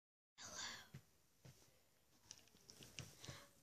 Hello.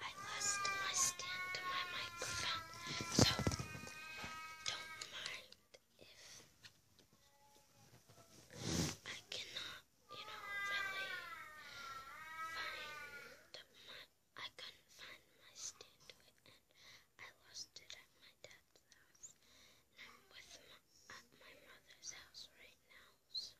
I lost my stand to my microphone, so don't mind if I cannot, you know, really find I couldn't find my stand and I lost it at my dad's house. I'm with at my mother's house right now, so.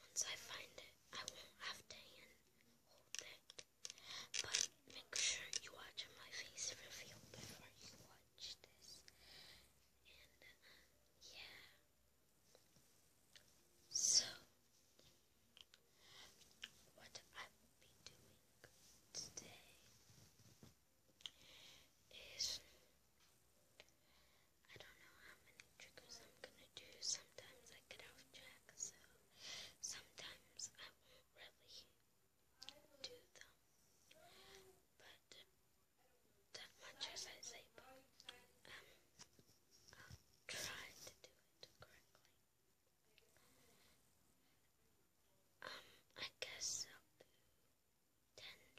Once I find it, I won't have to hold it. But make sure you watch my face reveal before you watch this. And uh, yeah. So, what I will be doing today is I don't know how many triggers I'm gonna do. Sometimes I get off track, so sometimes I won't really do them. But uh, that much as I say, but um, i try to do it correctly. Um, I guess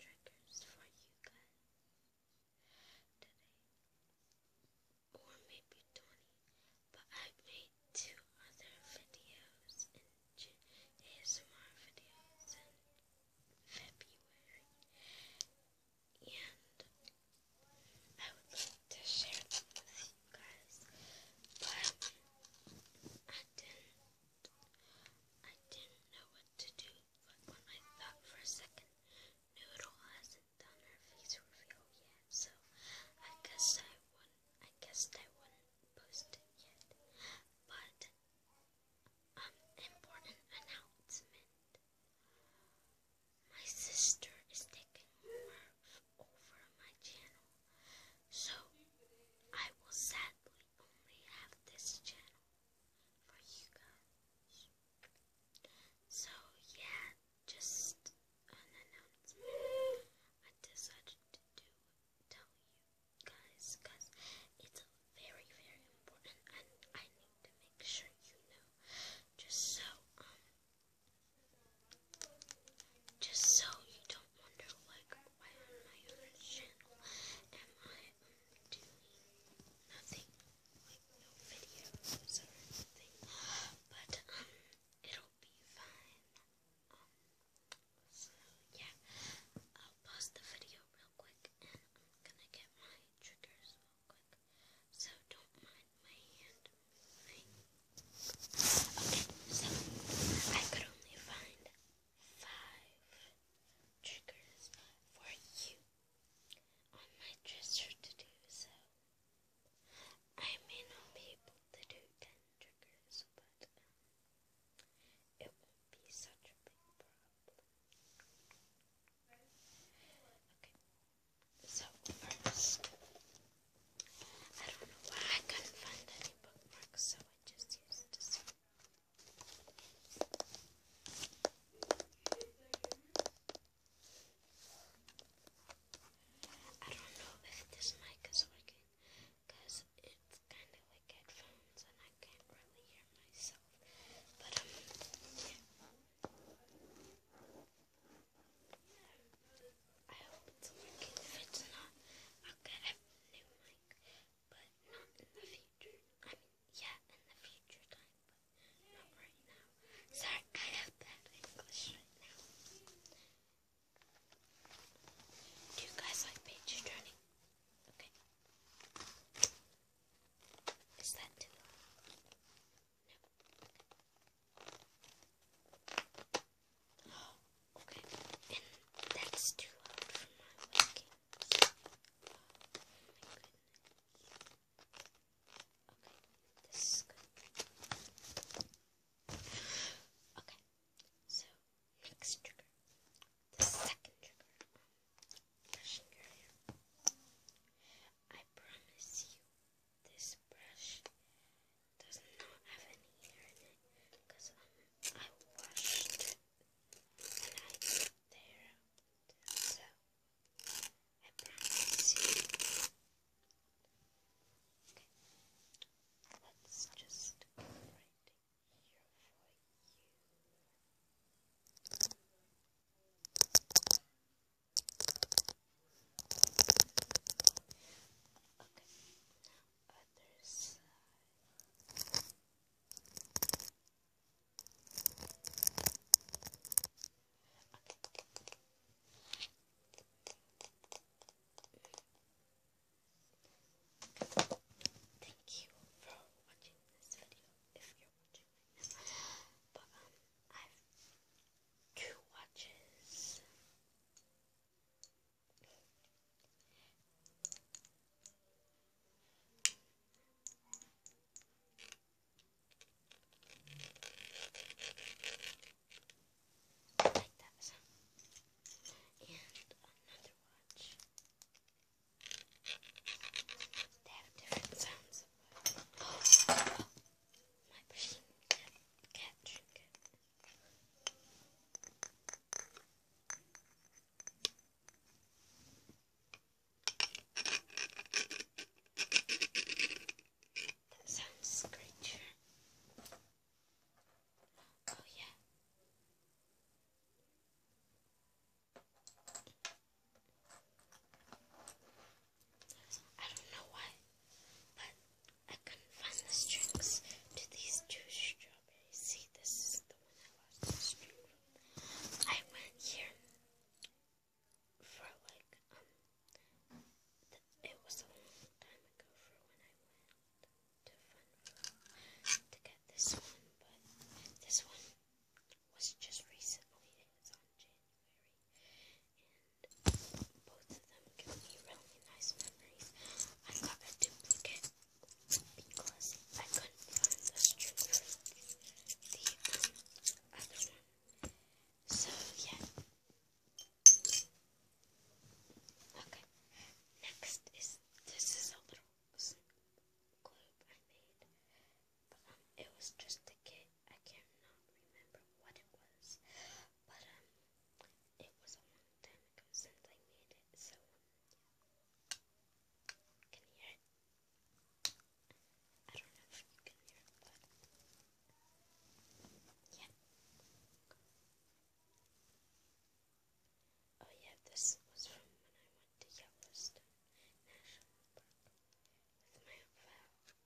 10 triggers for you guys today, or maybe 20, but I made two other videos in ASMR videos in February, and I would like to share them with you guys, but I didn't I didn't know what to do, but when I thought for a second, Noodle hasn't done her face reveal yet, so I guess I wouldn't I guess I wouldn't post it yet. But um important announcement. My sister is taking over my channel. So I will sadly only have this channel for you guys. So, yeah, just announcement I decided to do tell you guys because it's very, very important and I need to make sure you know. Just so, um, just so you don't wonder, like, my other channel am I doing nothing, like no videos or anything, but um, it'll be fine. Um, so yeah, I'll pause the video real quick and I'm gonna get my triggers real quick, so don't mind my hand moving. Okay, so I could only find five triggers for you on my dresser to do so. I may not be able to do ten triggers, but it won't be such a big problem. Okay, so first, I don't know why I couldn't find any bookmarks, so I just used this I don't know if this mic is working it's kind of like headphones and I can't really hear myself. But, um, yeah. I hope it's working. If it's not, I'll get a new mic but not in the future. I mean, yeah, in the future time, but not right now. Sorry, I have bad English right now. Do you guys like page turning? Okay. Is that too long? No. Okay, and that's too loud for my webcam. Oh my goodness. Okay, this is good. Okay, so next trigger. The second trigger. Brushing your hair. I promise you, this brush does not have any hair in it because um, I washed it when I put there. So I promise let's just go right here for you. Okay, Thank you for watching this video. If you're watching this, but um, I've two watches. Like that. And another watch. They have different sounds. Oh, oh. my machine catch. catch. That sounds great, Oh, yeah. I don't know why, but I couldn't find the strings to these two strawberries. See, this is the one I lost the string from. I went here for like, um, it was a long time ago for when I went to Funville to get this one, but this one was just recently. It was on January both of them give me really nice memories. I got a duplicate because I couldn't find the string from the other one. So, yeah. Okay, next is this is a little globe I made, but um, it was just a kit. I cannot remember what it was, but um, it was a long time ago since I made it, so can you hear I don't know if you can hear but yeah. Oh yeah, this was from when I went to Yellowstone National Park with my file.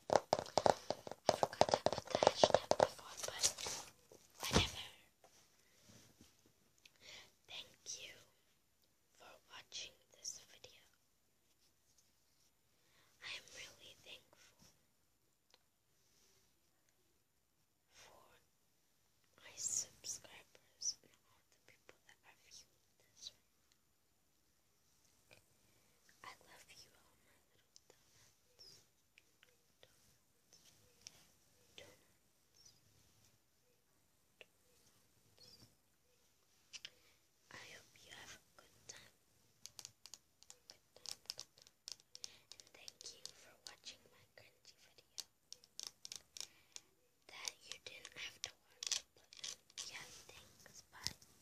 I forgot whatever. Thank you for watching this video. I am really thankful for my subscribers and all the people that are viewing this. I love you all my little donuts. Donuts. Donuts. Donuts. I hope you have a good time. Good time, good time. And thank you for watching my cringy video. That you didn't have to watch, but yeah, thanks, bye.